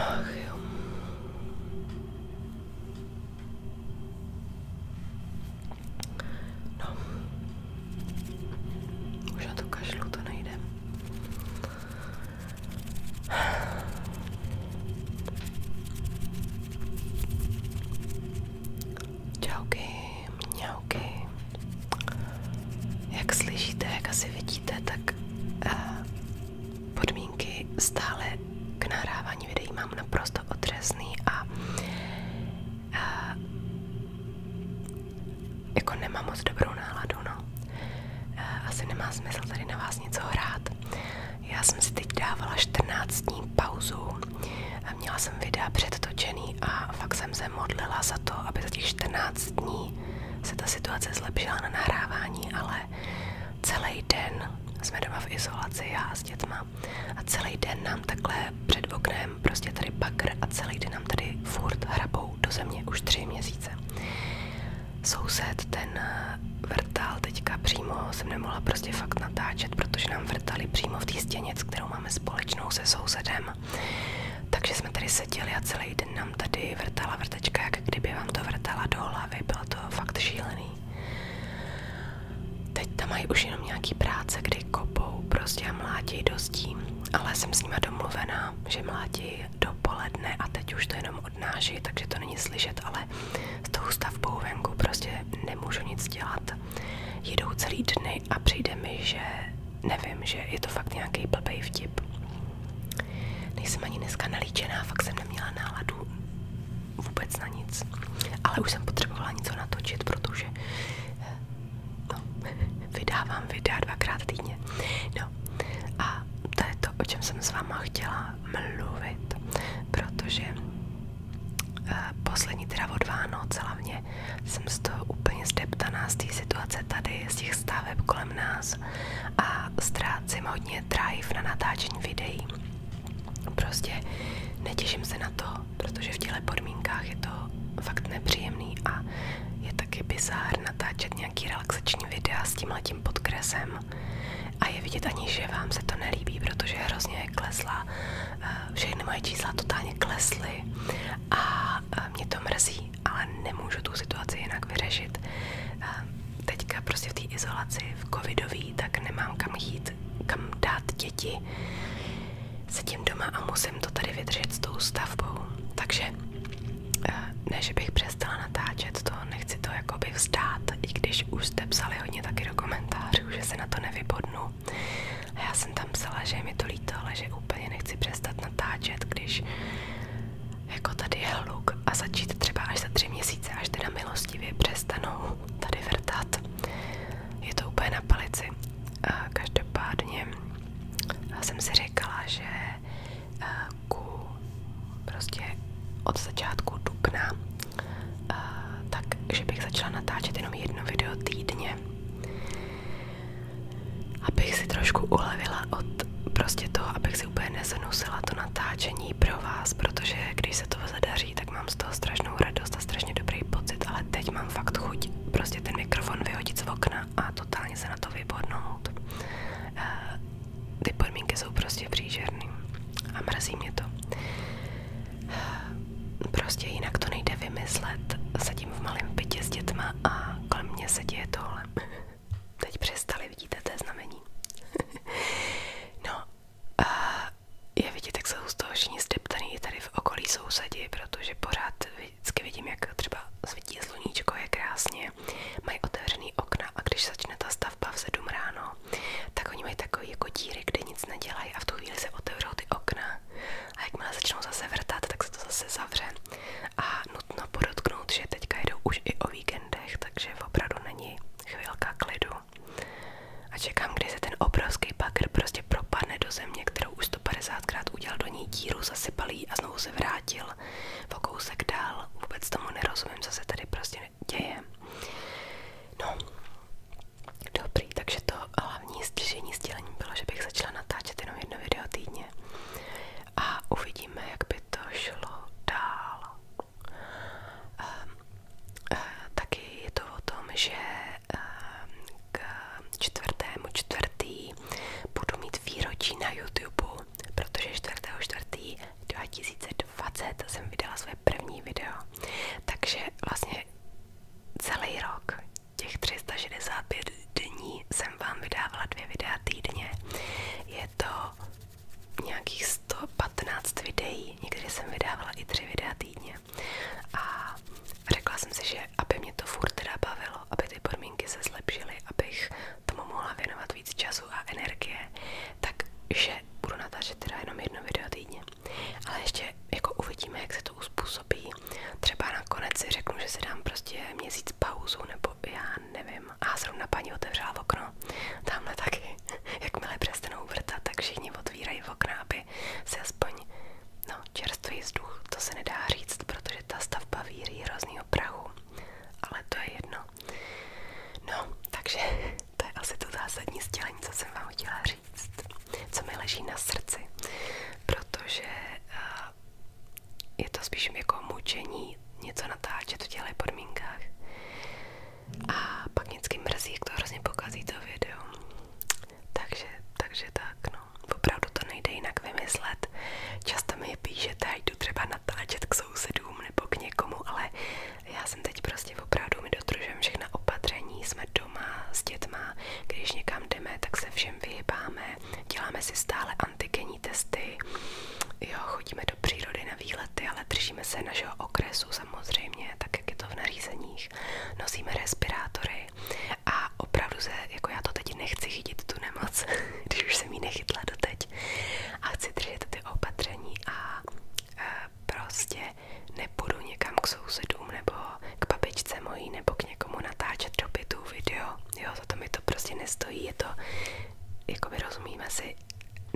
Ach jo. No. Už na to kašlu to nejde. Čauky, mňauky. Jak slyšíte, jak asi vidíte, tak eh, podmínky stále k nahrávání mám naprosto otřesný a eh, jako nemám moc dobrou náladu, no. Eh, asi nemá smysl tady na vás něco hrát. Já jsem si teď dávala 14 dní pauzu a měla jsem videa předtočený a fakt jsem se modlila za to, aby za těch 14 dní se ta situace zlepšila na nahrávání, ale celý den jsme doma v izolaci, já s dětma a celý den nám takhle před oknem prostě tady bakr a celý den nám tady furt hrabou do země už tři měsíce soused ten eh, vrtal teďka přímo, jsem nemohla prostě fakt natáčet, protože nám vrtali přímo v té stěně, kterou máme společnou se sousedem. Takže jsme tady seděli a celý den nám tady vrtala vrtečka, jak kdyby vám to vrtala do hlavy, bylo to fakt šílený. Teď tam mají už jenom nějaký práce, kdy kopou prostě a mlátějí dostím, ale jsem s nima domluvená, že mlátí dopoledne a teď už to jenom odnáší, takže to není slyšet, ale s tou stavbou venku prostě nemůžu nic dělat. Jedou celý dny a přijde mi, že nevím, že je to fakt nějaký blbej vtip. Nejsem ani dneska nalíčená, fakt jsem neměla náladu vůbec na nic. Ale už jsem potřebovala něco natočit, protože eh, no, vydávám videa dvakrát týdně. No a to je to, o čem jsem s váma chtěla mluvit, protože eh, poslední teda od Vánoc hlavně jsem z toho úplně zdeptaná z té situace tady, z těch staveb kolem nás a ztrácím hodně drive na natáčení videí. Prostě netěším se na to, protože v těle podmínkách je to fakt nepříjemný a je taky bizár natáčet nějaký relaxační videa s tímhletím podkresem a je vidět ani, že vám se to nelíbí, protože hrozně klesla, všechny moje čísla totálně klesly a eh, mě to mrzí, ale nemůžu tu situaci jinak vyřešit. Eh, teďka prostě v té izolaci, v covidový, tak nemám kam jít, kam dát děti. Sedím doma a musím to tady vydržet s tou stavbou. Takže eh, ne, že bych přestala natáčet, to nechci to jakoby vzdát, i když už jste psali hodně taky do komentářů, že se na to nevybodnu. A já jsem tam psala, že mi to líto, ale že úplně nechci přestat natáčet, když jako tady je hluk a začít třeba až za tři měsíce, až teda milostivě přestanou tady vrtat. Je to úplně na palici. A každopádně jsem si říkala, že eh, začátku, prostě od začátku dubna, tak, že bych začala natáčet jenom jedno video týdně, abych si trošku ulevila od prostě toho, abych si úplně nezanusila to natáčení pro vás, protože když se to zadaří, tak mám z toho strašnou radost a strašně dobrý pocit, ale teď mám fakt chuť prostě ten mikrofon vyhodit z okna a totálně se na to vybodnout. Ty podmínky jsou prostě přížerný a mrzí mě to. Prostě jinak to nejde vymyslet. Sedím v malém bytě s dětma a kolem mě se děje tohle. Teď přestali, vidíte, to je znamení. no, a je vidět, jak jsou z toho všichni zdeptaný tady v okolí sousedí, protože pořád vždycky vidím, jak třeba svítí sluníčko, je krásně budově. Mají otevřený okna a když začne ta stavba v ráno, tak oni mají takový jako díry, kde nic nedělají a v tu chvíli se otevřou ty okna a jakmile začnou zase vrtat, tak se to zase zavře. A nutno podotknout, že teďka jdou už i o víkendech, takže opravdu není chvilka klidu. A čekám, kdy se ten obrovský bagr prostě propadne do země, kterou už 150krát udělal do ní díru, zasypal a znovu se vrátil o kousek dál. Vůbec tomu nerozumím, co se tady prostě děje. No, dobrý, takže to hlavní stěžení sdělení bylo, že bych začala natáčet jenom jedno video týdně a uvidíme, jak by to šlo dál. Um, uh, taky je to o tom, že um, k čtvrtému čtvrtý budu mít výročí na YouTube protože 4.4.2020 jsem vydala své první video, takže vlastně celý rok, těch 365 dní, jsem vám vydávala dvě videa týdně. Je to nějakých 115 videí, někdy jsem vydávala i tři videa týdně. A řekla jsem si, že aby mě to furt teda bavilo, aby ty podmínky se zlepšily, abych tomu mohla věnovat víc času a energie, takže budu natáčet teda jenom jedno video týdně. Ale ještě jako uvidíme, jak se to uspůsobí. Třeba nakonec si řeknu, že si dám prostě měsíc pauzu, nebo já nevím. A zrovna paní otevřela okno, tamhle taky, jakmile přestanou vrtat, tak všichni otvírají okna, aby se aspoň no, čerstvý vzduch, to se nedá říct, protože ta stavba víří hroznýho prahu. Ale to je jedno. No, takže to je asi to zásadní sdělení, co jsem vám chtěla říct, co mi leží na srdci, protože uh, je to spíš jako mučení něco natáčet v těchto podmínkách. A pak vždycky mrzí, jak to hrozně pokazí to video. Takže, takže tak, no. Opravdu to nejde jinak vymyslet. Často mi je píšete, jdu třeba natáčet k sousedům nebo k někomu, ale já jsem teď prostě opravdu, my dodržujeme všechna opatření, jsme doma s dětma, když někam jdeme, tak se všem vyhybáme, děláme si stále antigenní testy, jo, chodíme do přírody na výlety, ale držíme se našeho okresu samozřejmě, tak jak je to v nařízeních, nosíme respirátory a opravdu se, jako já to teď nechci chytit tu nemoc, když už jsem ji nechytla doteď a chci držet ty ty opatření a e, prostě nepůjdu někam k sousedům nebo k babičce mojí nebo k někomu natáčet do bytu video, jo, za to mi to prostě nestojí, je to, jako rozumíme si,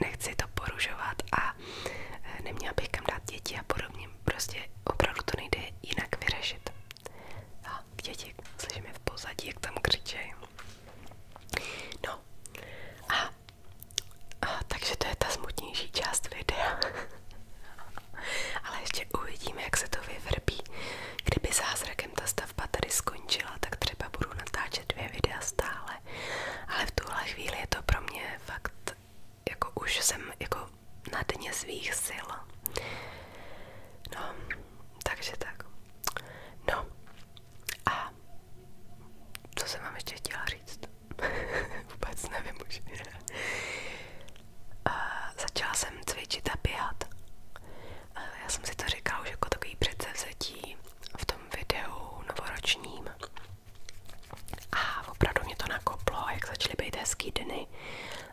nechci to porušovat a e, neměla bych kam dát děti a podobně, prostě opravdu to nejde jinak vyřešit. A děti slyšíme v pozadí, jak tam křičejí. No a a, takže to je ta smutnější část videa. Ale ještě uvidíme, jak se to vyvrbí. Kdyby zázrakem ta stavba tady skončila, tak třeba budu natáčet dvě videa stále. Ale v tuhle chvíli je to pro mě fakt, jako už jsem jako na dně svých sil. No, takže tak. No, a co jsem vám ještě chtěla říct? začala jsem cvičit a já jsem si to říkala už jako takový předsevzetí v tom videu novoročním. A opravdu mě to nakoplo, jak začaly být hezký dny.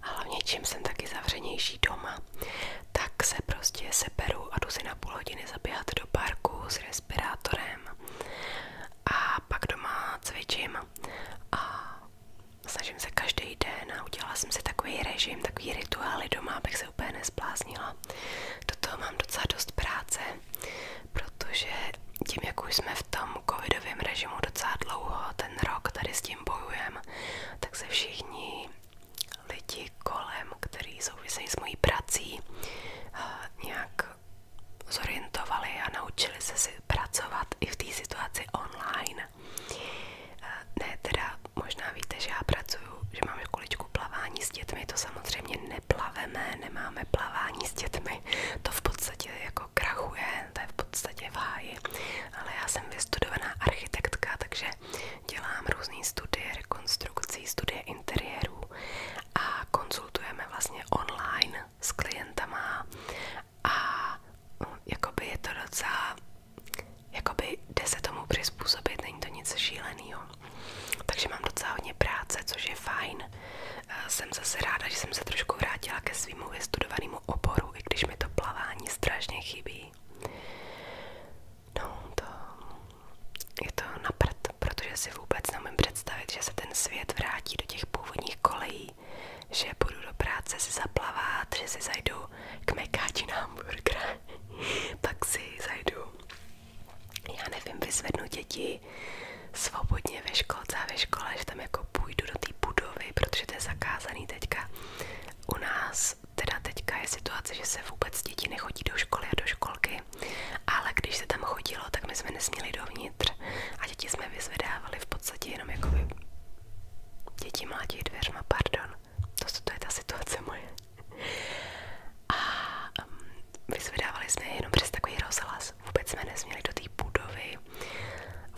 A hlavně čím jsem taky zavřenější doma, tak se prostě seberu a jdu na půl hodiny zaběhat do parku s respirátorem a pak doma cvičím a snažím se každý den a udělala jsem si takový režim, takový rituály doma, abych se úplně nezbláznila. Do toho mám docela dost práce, protože tím, jak už jsme v tom covidovém režimu docela dlouho, ten rok tady s tím bojujem, tak se všichni lidi kolem, kteří souvisejí s mojí prací, eh, nějak zorientovali a naučili se si pracovat i v té situaci online. Eh, ne, teda možná víte, že já pracuju, že mám školičku plavání s dětmi, to samozřejmě neplaveme, nemáme plavání s dětmi, to v podstatě jako krachuje, to je v podstatě v ale já jsem vystudovaná architektka, takže dělám různé studie rekonstrukcí, studie interiérů a konzultujeme vlastně online s klientama a mm, jakoby je to docela, jakoby jde se tomu přizpůsobit, není to nic šíleného. Takže mám docela hodně práce, což je fajn. Eh, jsem zase ráda, že jsem se trošku vrátila ke svýmu vystudovanému oboru, i když mi to plavání strašně chybí. No, to je to na protože si vůbec nemůžu představit, že se ten svět vrátí do těch původních kolejí, že půjdu do práce si zaplavat, že si zajdu k mekáči na hamburger, pak zajdu, já nevím, vyzvednu děti svobodně ve školce a ve škole, že tam jako půjdu do té budovy, protože to je teďka u nás, teda teďka je situace, že se vůbec děti nechodí do školy a do školky, ale když se tam chodilo, tak my jsme nesměli dovnitř a děti jsme vyzvedávali v podstatě jenom jako děti mlátí dveřma, pardon. To, to je ta situace moje. A um, jsme jenom přes takový rozhlas. Vůbec jsme nesměli do té budovy.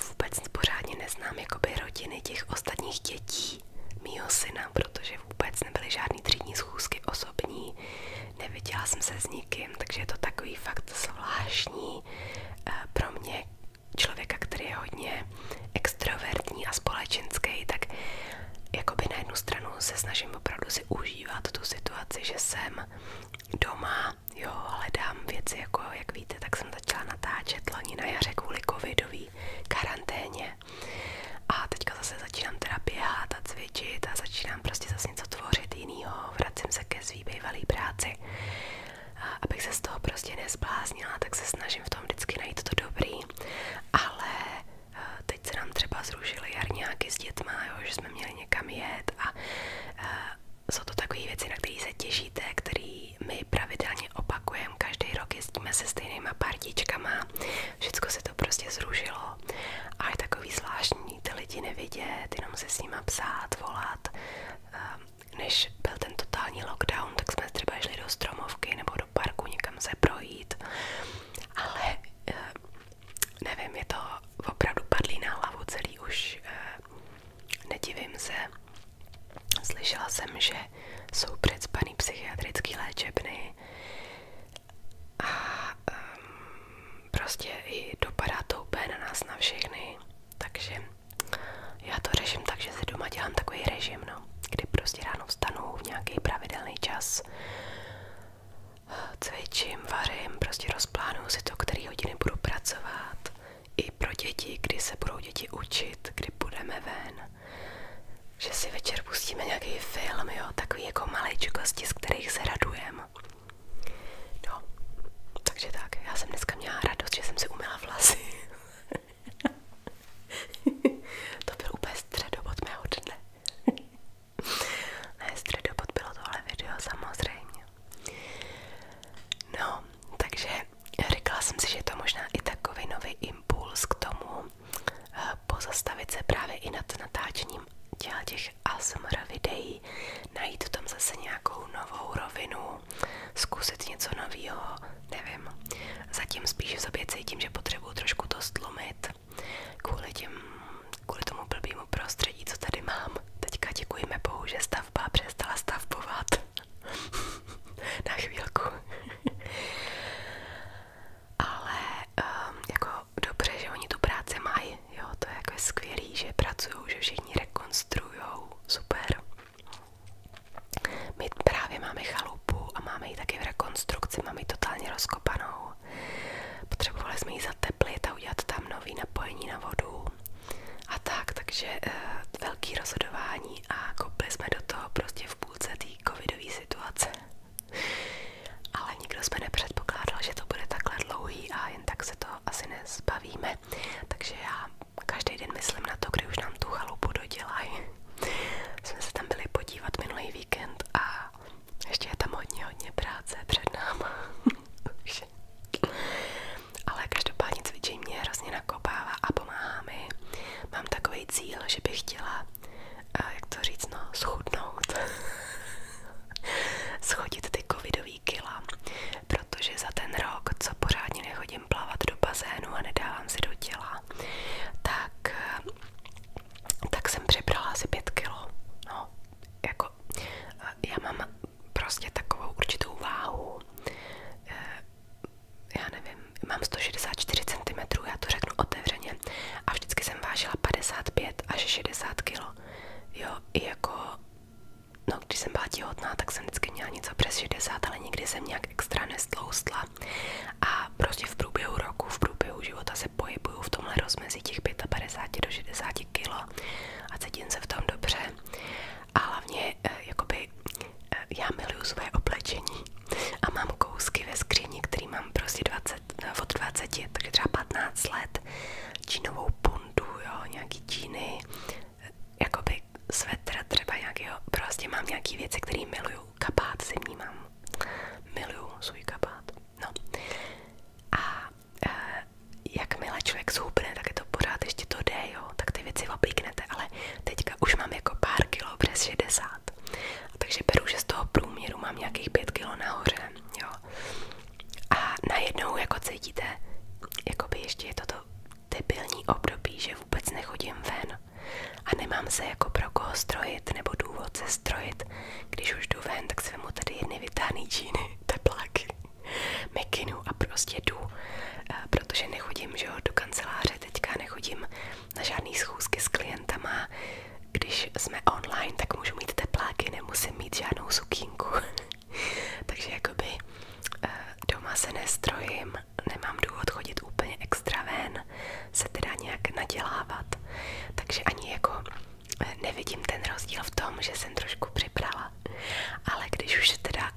Vůbec pořádně neznám jakoby rodiny těch ostatních dětí mýho syna, protože vůbec nebyly žádný třídní schůzky osobní, neviděla jsem se s nikým, takže je to takový fakt zvláštní eh, pro mě člověka, který je hodně extrovertní a společenský, tak jakoby na jednu stranu se snažím opravdu si užívat tu situaci, že jsem doma, jo, hledám věci, jako jak víte, tak jsem začala natáčet loni na jaře kvůli covidový karanténě a teďka zase začínám teda běhat a cvičit a začínám prostě zase něco tvořit jinýho, vracím se ke svý bývalý práci. A abych se z toho prostě nezbláznila, tak se snažím v tom vždycky najít to dobrý, ale eh, teď se nám třeba zrušily jarňáky s dětma, jo, že jsme měli někam jet a, eh, jsou to takové věci, na které se těšíte, které my pravidelně opakujeme, každý rok jezdíme se stejnýma partičkama, Všecko se to prostě zrušilo a je takový zvláštní ty lidi nevidět, jenom se s nima psát, volat. Ehm, než byl ten totální lockdown, tak jsme třeba šli do stromovky nebo do parku někam se projít, ale ehm, nevím, je to opravdu padlý na hlavu celý už, ehm, nedivím se. Slyšela jsem, že jsou předspaný psychiatrické léčebny a um, prostě i dopadá to úplně na nás, na všechny, takže já to řeším tak, že si doma dělám takový režim, no, kdy prostě ráno vstanu v nějaký pravidelný čas, cvičím, vařím, prostě rozplánuju si to, který hodiny budu pracovat, i pro děti, kdy se budou děti učit, kdy budeme ven, že si večer pustíme nějaký film, jo, takový jako maličkosti, z kterých se radujeme. No, takže tak, já jsem dneska měla radost, že jsem si uměla vlasy. to byl úplně středobod mého dne. ne, středobod bylo video samozřejmě. No, takže říkala jsem si, že je to možná i takový nový impuls k tomu, pozastavit se právě i nad natáčením těch ASMR videí, najít tam zase nějakou novou rovinu, zkusit něco nového, nevím. Zatím spíš v sobě cítím, že potřebuju trošku to stlumit kvůli, těm, kvůli tomu blbýmu prostředí, co tady mám. Teďka děkujeme bohu, že stavba přestala stavbovat. Na chvílku ale um, jako dobře, že oni tu práci mají, jo, to je jako skvělý, že pracují, že všichni rekonstruujou, super. My právě máme chalupu a máme ji taky v rekonstrukci, máme ji totálně rozkopanou. Potřebovali jsme ji zateplit a udělat tam nový napojení na vodu a tak, takže e, velký rozhodování a kopli jsme do toho prostě v půlce té covidové situace. Ale nikdo jsme nepředpokládal, že to bude takhle dlouhý a jen tak se to asi nezbavíme. Takže já každý den myslím na to, kdy nám tu chalupu dodělají. Jsme se tam byli podívat minulý víkend a ještě je tam hodně, hodně práce před náma. Ale každopádně cvičení mě hrozně nakopává a pomáhá mi. Mám takový cíl, že bych chtěla Eh, jak to říct, no, schudnout. Schodit ty covidový kila, protože za ten rok, co pořádně nechodím plavat do bazénu a nedávám si do tak, eh, tak jsem přebrala asi 5 kilo. No, jako, eh, já mám prostě takovou určitou váhu, já nevím, mám 164 cm, já to řeknu otevřeně, a vždycky jsem vážila 55 až 60 kg. Jo, i jako, no když jsem byla těhotná, tak jsem vždycky měla něco přes 60, ale nikdy jsem nějak extra nestloustla. A prostě v průběhu roku, v průběhu života se pohybuju v tomhle rozmezí těch 55 do 60 kg a cítím se v tom dobře. A hlavně, eh, jakoby, eh, já miluju své oblečení. A mám kousky ve skříni, který mám prostě 20, eh, od 20, takže třeba 15 let, čínovou pundu, jo, nějaký číny, jakoby svetr třeba nějakého, prostě mám nějaký věci, které miluju, kabát zimní miluju svůj kabát, no. A e, jakmile člověk zhoubne, tak je to pořád ještě to jde, jo, tak ty věci oblíknete, ale teďka už mám jako pár kilo přes 60 takže beru, že z toho průměru mám nějakých pět kilo nahoře, jo. A najednou jako cítíte, jakoby ještě je toto debilní období, že vůbec nechodím ven a nemám se jako pro koho strojit nebo důvod se strojit. Když už jdu ven, tak si vemu tady jedny vytáhný džíny, tepláky, mekinu a prostě jdu, eh, protože nechodím, že jo, do kanceláře teďka, nechodím na žádný schůzky s klientama. Když jsme online, tak můžu mít tepláky, nemusím mít žádnou sukínku. Takže jakoby eh, doma se nestrojím, nemám důvod chodit úplně extra ven, se teda nějak nadělávat. Takže ani jako eh, nevidím ten rozdíl v tom, že jsem trošku připrala. Ale když už teda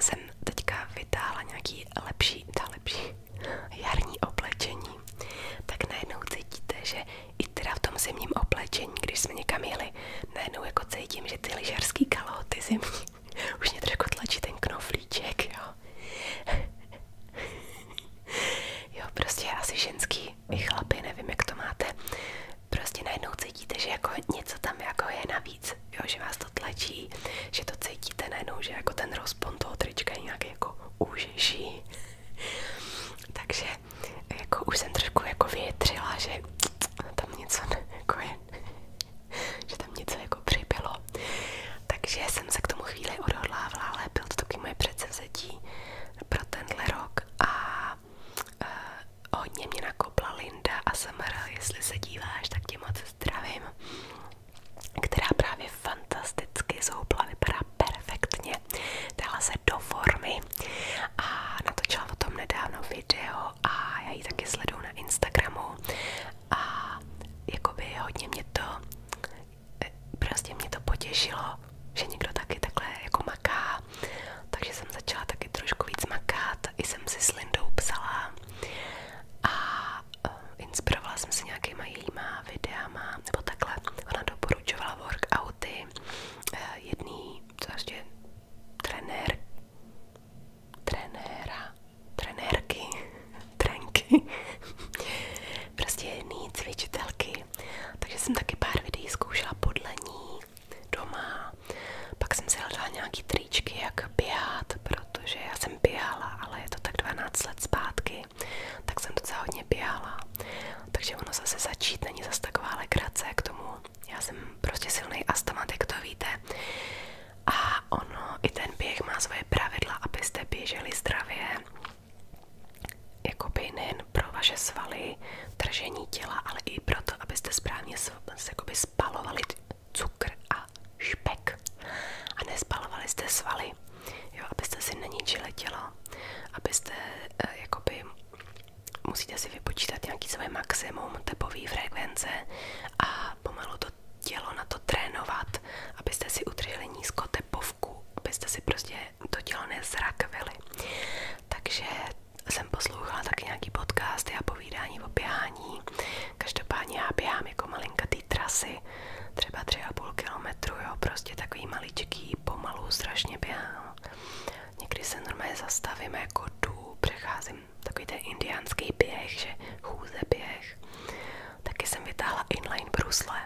jsem teďka vytáhla nějaký lepší, ta lepší, jarní oblečení, tak najednou cítíte, že i teda v tom zimním oblečení, když jsme někam jeli, najednou jako cítím, že ty lyžařský kalhoty zimní už mě trošku tlačí ten knoflíček, jo. jo, prostě asi ženský i chlapy, nevím, jak to máte. Prostě najednou cítíte, že jako něco tam jako je navíc, jo, že vás to tlačí, že to cítíte najednou, že jako ten rozpon toho trička je nějaký jako už nejrůžnější. Takže jako už jsem trošku jako větřila, že tam něco jako je, že tam něco jako přibylo. Takže jsem se k tomu chvíli odhodlávala, ale byl to taky moje předsevzetí pro tenhle rok a eh, hodně mě nakopla Linda a Samara, jestli se díváš, tak tě moc zdravím která právě fantasticky zhoupla, vypadá perfektně, dala se do formy a natočila o tom nedávno video a já ji taky sleduju na Instagramu a jakoby hodně mě to eh, prostě mě to potěšilo, že někdo taky takhle jako maká, takže jsem začala taky trošku víc makat, i jsem si s Lindou psala a Eh, inspirovala jsem se nějakýma jejíma videama, nebo takhle. Ona doporučovala workouty eh, jedný, co ještě, trenér, trenéra, trenérky, trenky, prostě jedný cvičitelky. Takže jsem taky pár videí zkoušela podle ní doma. Pak jsem si hledala nějaký tričky, jak běhat, protože jsem běhala, ale je to tak 12 let zpátky tak jsem docela hodně běhala. Takže ono zase začít není zase taková legrace k tomu. Já jsem prostě silný astmatik, to víte. A ono, i ten běh má svoje pravidla, abyste běželi zdravě. Jakoby nejen pro vaše svaly, tržení těla, ale i pro to, abyste správně jakoby spalovali cukr a špek. A nespalovali jste svaly jo, abyste si neničili tělo, abyste eh, jakoby musíte si vypočítat nějaký své maximum tepové frekvence a pomalu to tělo na to trénovat, abyste si udrželi nízko tepovku, abyste si prostě to tělo nezrakvili. Takže jsem poslouchala taky nějaký podcasty a povídání o běhání. Každopádně já běhám jako malinkatý trasy asi třeba půl kilometru, jo, prostě takový maličký, pomalu, strašně běhám. Někdy se normálně zastavím, jako jdu, přecházím takový ten indiánský běh, že chůze běh. Taky jsem vytáhla inline brusle.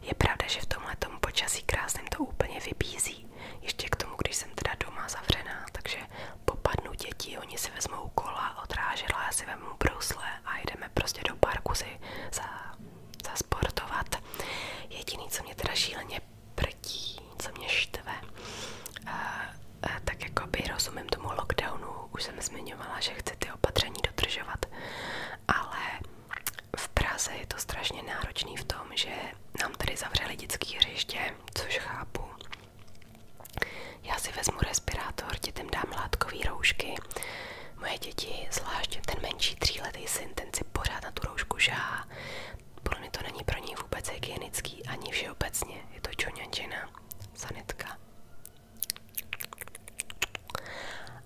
Je pravda, že v tomhle počasí krásným to úplně vybízí. Ještě k tomu, když jsem teda doma zavřená, takže popadnu děti, oni si vezmou kola, odrážela, já si vezmu brusle a jdeme prostě do parku si za zasportovat. Jediný, co mě teda šíleně prdí, co mě štve, tak jakoby rozumím tomu lockdownu, už jsem zmiňovala, že chci ty opatření dodržovat, ale v Praze je to strašně náročný v tom, že nám tady zavřeli dětské hřiště, což chápu. Já si vezmu respirátor, dětem dám látkový roušky, Moje děti, zvláště ten menší tříletý syn, ten si pořád na tu roušku žáhá. Podle to není pro něj vůbec hygienický, ani všeobecně. Je to čoňančina, sanitka.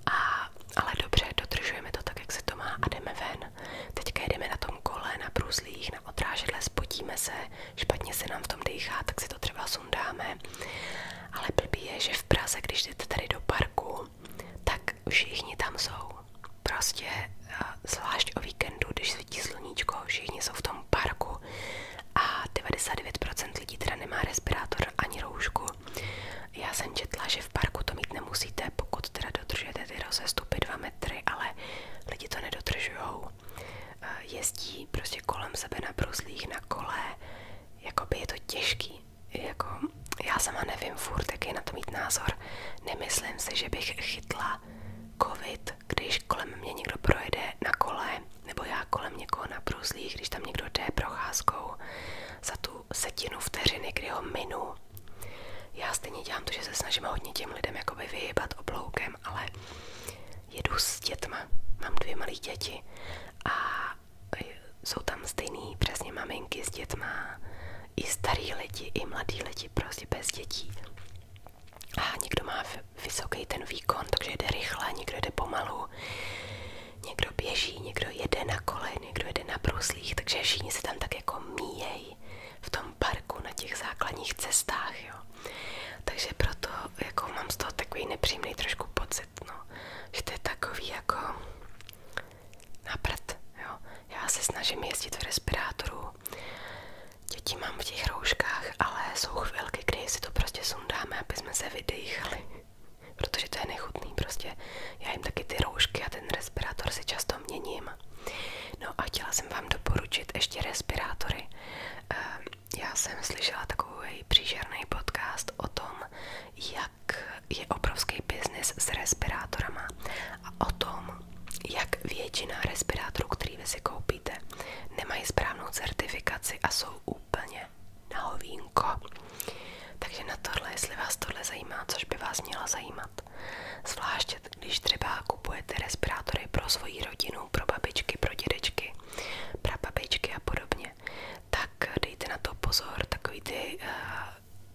A, ale dobře, dodržujeme to tak, jak se to má a jdeme ven. Teďka jedeme na tom kole, na bruslích, na odrážedle, spotíme se, špatně se nám v tom dýchá, tak si to třeba sundáme ale blbý je, že v Praze, když jdete tady do parku, tak všichni tam jsou. Prostě eh, zvlášť o víkendu, když svítí sluníčko, všichni jsou v tom parku a 99% lidí teda nemá respirátor ani roušku. Já jsem četla, že v parku to mít nemusíte, pokud teda dodržujete ty rozestupy 2 metry, ale lidi to nedodržujou. Eh, jezdí prostě kolem sebe na bruslích, na kole, jakoby je to těžký jako já sama nevím furt, jaký na to mít názor. Nemyslím si, že bych chytla covid, když kolem mě někdo projede na kole, nebo já kolem někoho na bruslích, když tam někdo jde procházkou za tu setinu vteřiny, kdy ho minu. Já stejně dělám to, že se snažím hodně těm lidem jako by vyhybat obloukem, ale jedu s dětma, mám dvě malé děti a jsou tam stejný přesně maminky s dětma, i starý lidi, i mladí lidi, prostě bez dětí. A někdo má vysoký ten výkon, takže jde rychle, někdo jde pomalu, někdo běží, někdo jede na kole, někdo jede na bruslích, takže všichni se tam tak jako míjejí v tom parku na těch základních cestách, jo. Takže proto jako mám z toho takový nepříjemný trošku pocit souhlasit, no, že to je takový jako na prd, jo. Já se snažím jezdit v respirátoru, děti mám v těch rouškách, ale jsou chvilky, kdy si to prostě sundáme, aby jsme se vydechali, protože to je nechutný prostě. Já jim taky ty roušky a ten respirátor si často měním. No a chtěla jsem vám doporučit ještě respirátory. Ehm, já jsem slyšela takový příšerný podcast o tom, jak je obrovský biznis s respirátorama a o tom, jak většina respirátorů, který vy koupíte, nemají správnou certifikaci a jsou úplně na hovínko. Takže na tohle, jestli vás tohle zajímá, což by vás měla zajímat. Zvlášť, když třeba kupujete respirátory pro svoji rodinu, pro babičky, pro dědečky, pro babičky a podobně, tak dejte na to pozor, takový ty uh,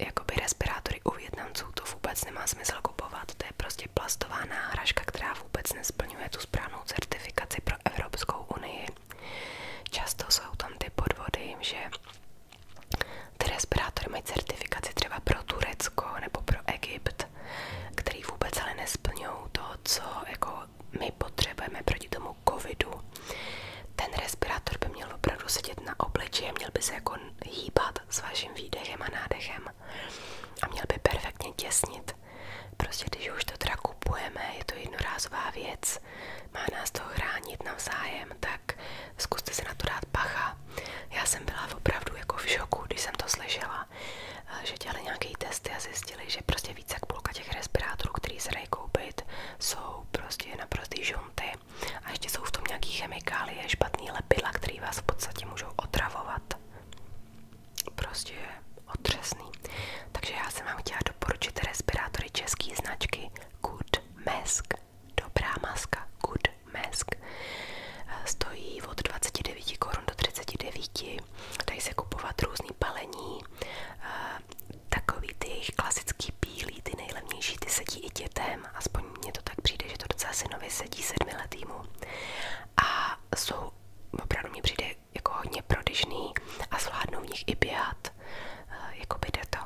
jakoby respirátory u Větnamců to vůbec nemá smysl kupovat, to je prostě plastová náhražka, která vůbec nesplňuje tu správnou certifikaci pro Evropskou unii. Často jsou tam ty podvody, že ty respirátory mají certifikaci třeba pro Turecko nebo pro Egypt, který vůbec ale nesplňují to, co jako my potřebujeme proti tomu covidu. Ten respirátor by měl opravdu sedět na obličeji, měl by se jako hýbat s vaším výdechem a nádechem a měl by perfektně těsnit. Prostě když už to teda kupujeme, je to jednorázová věc, má nás to chránit navzájem, tak zkuste se na to dát pacha. Já jsem byla opravdu jako v šoku, když jsem to slyšela, eh, že dělali nějaký testy a zjistili, že prostě víc jak půlka těch respirátorů, které se dají koupit, jsou prostě naprostý žunty a ještě jsou v tom nějaký chemikálie, špatný lepidla, který vás v podstatě můžou otravovat. Prostě otřesný. Takže já jsem vám chtěla doporučit respirátory české značky Good Mask. Dobrá maska Good Mask. Stojí od 29 korun do 39. Dají se kupovat různý palení, takový ty jejich klasický bílý, ty sedí i dětem, aspoň mně to tak přijde, že to docela synově sedí sedmiletýmu a jsou, opravdu mi přijde jako hodně prodyžný a zvládnou v nich i běhat, eh, jako by to.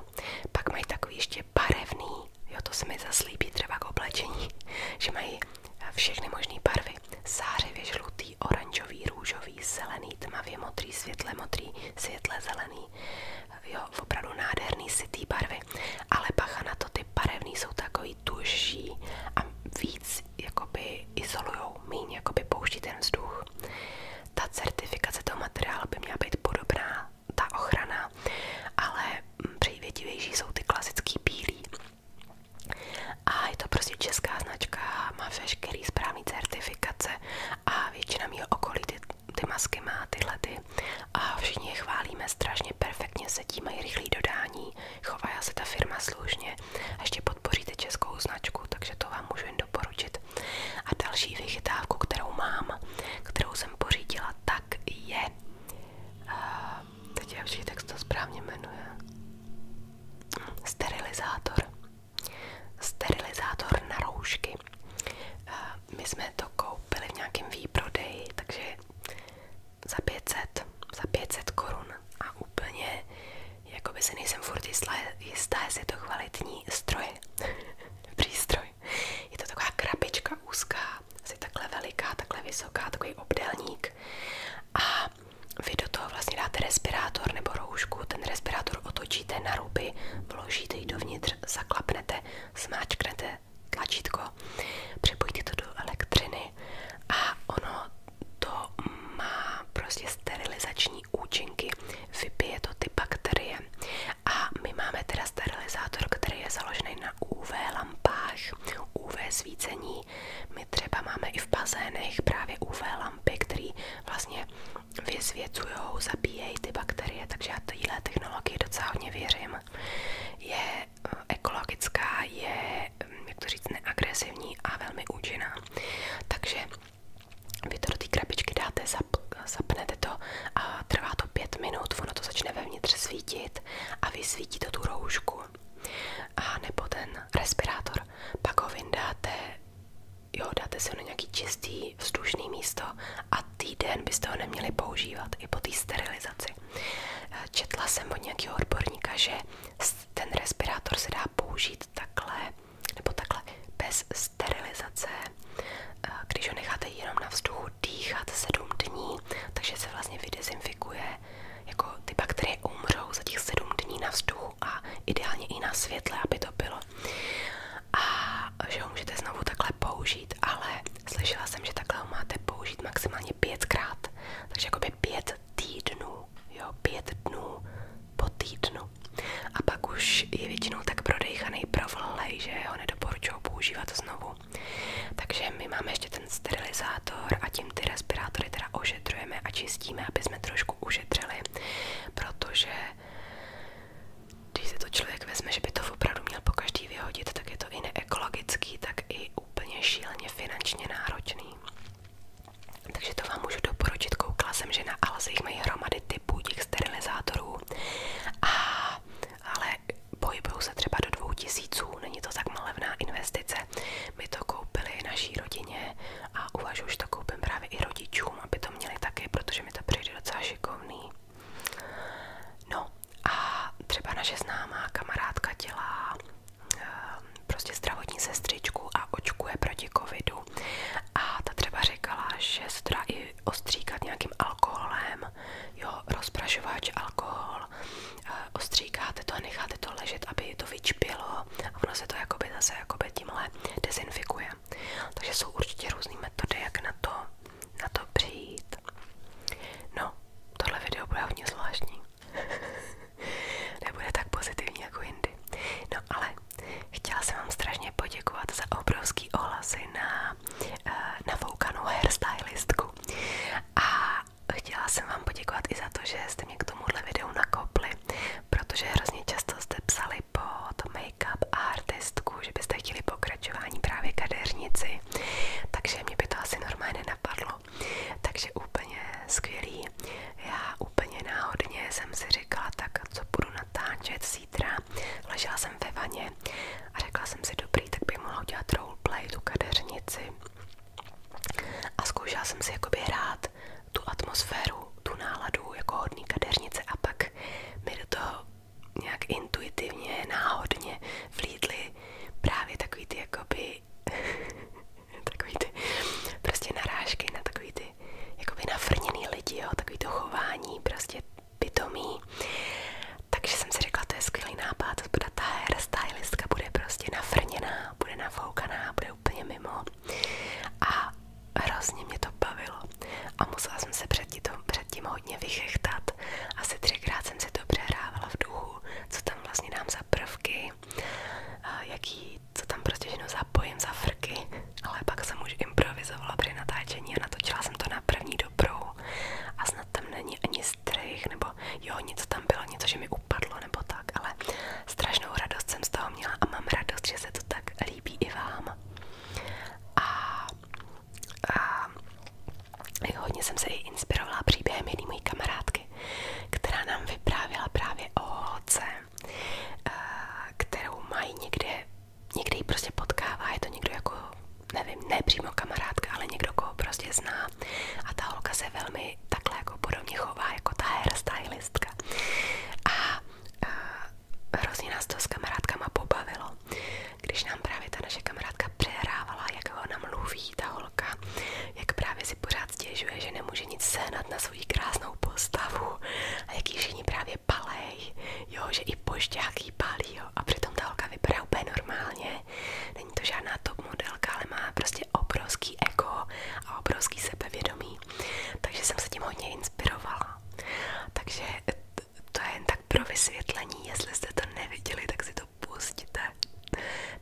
Pak mají takový ještě barevný, jo to se mi zaslíbí třeba k oblečení, že mají eh, všechny možné barvy, zářivě žlutý, žlutý, oranžový, růžový, zelený, tmavě modrý, světle modrý, světle zelený. Jo, opravdu nádherný sitý barvy. Ale bacha na to, ty barevný jsou takový tužší a víc jakoby izolujou, míň jakoby pouští ten vzduch. Ta certifikace toho materiálu by měla být podobná, ta ochrana, ale mm, přívětivější jsou ty klasický bílý. A je to prostě česká značka, má veškerý správný dá mít certifikace a většina mého okolí ty, ty masky má tyhle ty a všichni je chválíme, strašně perfektně sedí, mají rychlé dodání, chová se ta firma slušně a ještě podpoříte českou značku, takže to vám můžu jen doporučit. A další vychytávku, kterou mám, kterou jsem pořídila, tak je... Uh, teď je všichni, tak se to správně jmenuje. Hm, sterilizátor sterilizátor na roušky. Eh, my jsme to koupili v nějakém výprodeji, takže za 500, za 500 korun a úplně jakoby si nejsem furt jistá, jestli je to kvalitní stroje, přístroj. Je to taková krabička úzká, asi takhle veliká, takhle vysoká, takový obdelník a vy do toho vlastně dáte respirátor nebo roušku, ten respirátor otočíte na ruby, vložíte ji dovnitř, zaklapnete, smáčknete tlačítko, připojíte to do elektřiny a ono to má prostě sterilizační účinky, vypije to ty bakterie. A my máme teda sterilizátor, který je založený na UV lampách, UV svícení. My třeba máme i v bazénech právě UV lampy, které vlastně vyzvěcujou, zabíjejí ty bakterie, takže já téhle technologie, docela hodně věřím. Je eh, ekologická, je, hm, jak to říct, neagresivní a velmi účinná. Takže vy to do té krabičky dáte, zap, zapnete to a trvá to pět minut, ono to začne vevnitř svítit a vy to tu roušku a nebo ten respirátor, pak ho vyndáte jo, dáte se na nějaký čistý, vzdušný místo a týden byste ho neměli používat i po té sterilizaci. Eh, četla jsem od nějakého odborníka, že ten respirátor se dá použít takhle, nebo takhle, bez sterilizace, eh, když ho necháte jenom na vzduchu dýchat sedm dní, takže se vlastně vydezinfikuje, jako ty bakterie umřou za těch sedm dní na vzduchu a ideálně i na světle, aby to bylo. A že ho můžete znovu takhle použít, ale slyšela jsem, že takhle ho máte použít maximálně pětkrát, takže jakoby pět týdnů, jo, pět dnů po týdnu. A pak už je většinou tak prodejchaný provlhlej, že ho nedoporučuju používat znovu. Takže my máme ještě ten sterilizátor a tím ty respirátory teda ošetřujeme a čistíme, aby jsme trošku ušetřili nedělali, protože když se to člověk vezme, že by to opravdu měl po každý vyhodit, tak je to i neekologický, tak i úplně šíleně finančně náročný. Takže to vám můžu doporučit, koukla jsem, že na Alze jich mají hromady typů těch sterilizátorů, a, ale pohybují se třeba do dvou tisíců, není to tak malevná investice, my to koupili naší rodině a uvažuji, že to koupím právě i rodičům, aby to měli taky, protože mi to přijde docela No a třeba naše známá kamarádka dělá ehm, prostě zdravotní sestřičku a očkuje proti covidu. A ta třeba říkala, že se dá nějakým alkoholem, jo, rozprašovač, alkohol, eh, ostříkáte to a necháte to ležet, aby to vyčpilo a ono se to jakoby zase jakoby tímhle dezinfikuje. Takže jsou určitě různé metody, jak na to, na to přijít. No, tohle video bude hodně zvláštní. Nebude tak pozitivní jako jindy. No ale chtěla jsem vám strašně poděkovat za obrovský ohlasy na eh, navoukanou hairstylistku. A chtěla jsem vám poděkovat i za to, že jste mě k tomuhle videu nakopli psali, protože hrozně často jste psali pod make-up a artistku, že byste chtěli pokračování právě kadeřnici, takže mě by to asi normálně napadlo. Takže úplně skvělý. Já úplně náhodně jsem si říkala, tak co budu natáčet zítra. Ležela jsem ve vaně a řekla jsem si, dobrý, tak bych mohla udělat roleplay, tu kadeřnici. A zkoušela jsem si jakoby hrát tu atmosféru, tu náladu jako hodný kadeřnice a pak mi do toho nějak intuitivně, náhodně vlídly právě takový ty jakoby takový ty prostě narážky na takový ty jakoby nafrněný lidi, jo, takový prostě pitomí. Takže jsem si řekla, to je skvělý nápad, ta hair stylistka bude prostě nafrněná, bude nafoukaná, bude je a hrozně mě to bavilo a musela jsem se předtím, předtím hodně vychechtat. Asi třikrát jsem si to přehrávala v duchu, co tam vlastně dám za prvky, jaký, co tam prostě jenom zapojím za frky, ale pak jsem už improvizovala při natáčení a natočila jsem to na první dobrou a snad tam ani strych nebo jo, něco tam bylo, něco, že mi upadlo nebo tak, ale strašnou radost jsem z měla a mám radost, že se to tak líbí i vám. A, hodně jsem se i inspirovala příběhem jedné mojí kamarádky, která nám vyprávěla právě o holce, eh, kterou mají někde, někde ji prostě potkává, je to někdo jako, nevím, ne přímo kamarádka, ale někdo, koho prostě zná a ta holka se velmi velmi jako podobně chová jako ta hairstylistka. A, a eh, hrozně nás to s kamarádkama pobavilo, když nám právě ta naše kamarádka přehrávala, jak ho namluví ta holka, jak právě si pořád stěžuje, že nemůže nic sehnat na svou krásnou postavu a jak ji všichni právě palej, jo, že i pošťáky palí, jo, a přitom ta holka vypadá normálně, není to žádná modelka, ale má prostě obrovský ego a obrovský sebevědomí takže jsem se tím hodně inspirovala. Takže to je tak pro vysvětlení, jestli jste to neviděli, tak si to pustíte.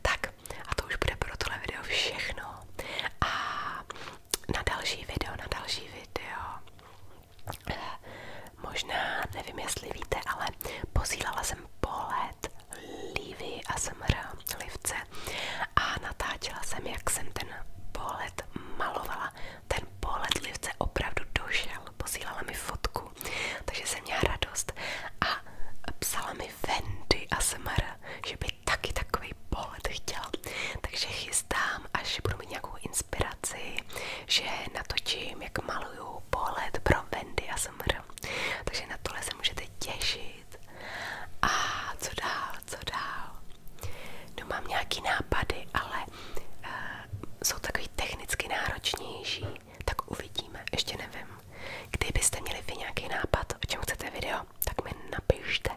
Tak a to už bude pro tohle video všechno. A na další video, na další video. Možná, nevím jestli víte, ale posílala jsem pohled Lívy a SMR livce a natáčela jsem, jak jsem ten pohled malovala. Ten pohled livce opravdu došel, posílala mi fotku, takže jsem měla radost a psala mi Wendy a Semara, že by taky takový pohled chtěla. Takže chystám, až budu mít nějakou inspiraci, že natočím, jak maluju pohled pro Wendy a Semara. Takže na tohle se můžete těšit zlepšit. A co dál, co dál? No mám nějaký nápady, ale uh, jsou takový technicky náročnější, tak uvidíme, ještě nevím. Kdybyste měli vy nějaký nápad, o čem chcete video, tak mi napište.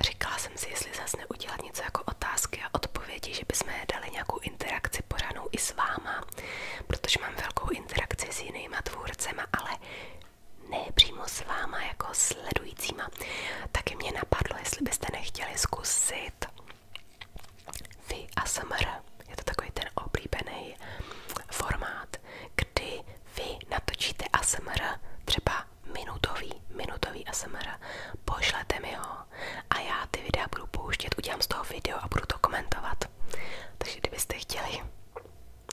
Říkala jsem si, jestli zase neudělat něco jako otázky a odpovědi, že bychom dali nějakou interakci pořádnou i s váma, protože mám velkou interakci s jinýma tvůrcema, ale ne přímo s váma jako sledujícíma, taky mě napadlo, jestli byste nechtěli zkusit vy ASMR. Je to takový ten oblíbený formát, kdy vy natočíte ASMR, třeba minutový, minutový ASMR, pošlete mi ho a já ty videa budu pouštět, udělám z toho video a budu to komentovat. Takže kdybyste chtěli,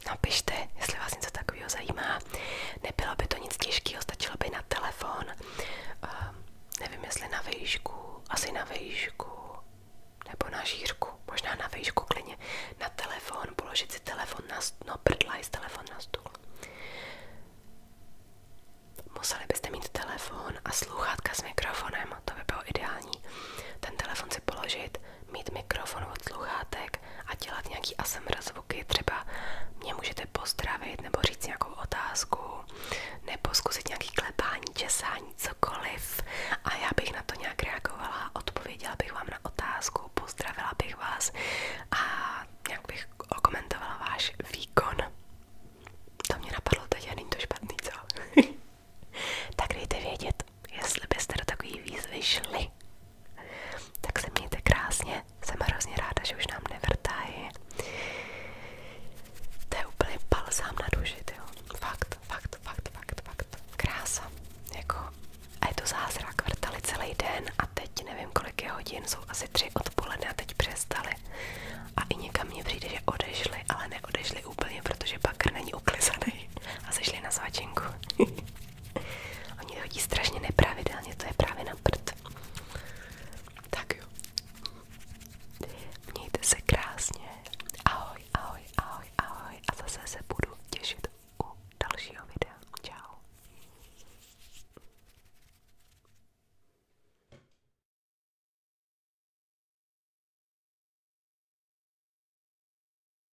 napište, jestli vás něco takového zajímá. Nebylo by to nic těžkého, stačilo by na telefon, uh, nevím jestli na vejšku, asi na vejšku, nebo na žířku, možná na vejšku klidně, na telefon, položit si telefon na stůl, no prdlaj z telefon na stůl. Museli byste mít telefon a sluchátka s mikrofonem, to by bylo ideální. Ten telefon si položit mít mikrofon od sluchátek a dělat nějaký ASMR zvuky, třeba mě můžete pozdravit nebo říct nějakou otázku, nebo zkusit nějaký klepání, česání, cokoliv a já bych na to nějak reagovala, odpověděla bych vám na otázku, pozdravila bych vás a nějak bych okomentovala váš výkon. To mě napadlo teď a není to špatný, co? tak dejte vědět, jestli byste do takové Tak se mějte krásně, jsem hrozně ráda, že už nám nevrtají. To úplně balzám na duši, Fakt, fakt, fakt, fakt, fakt. Krása. Jako, a je to zázrak, celý den a teď nevím kolik hodin, jsou asi tři odpoledne a teď přestali. A i někam mně přijde, že odešli, ale neodešli úplně, protože bakr není uklizaný a sešli na svačinku. Oni chodí strašně nepravidelně, to je právě na prd. Tak jo. Mějte se krásně. Ahoj, ahoj, ahoj, ahoj. A zase se budu těšit u dalšího videa. Čau.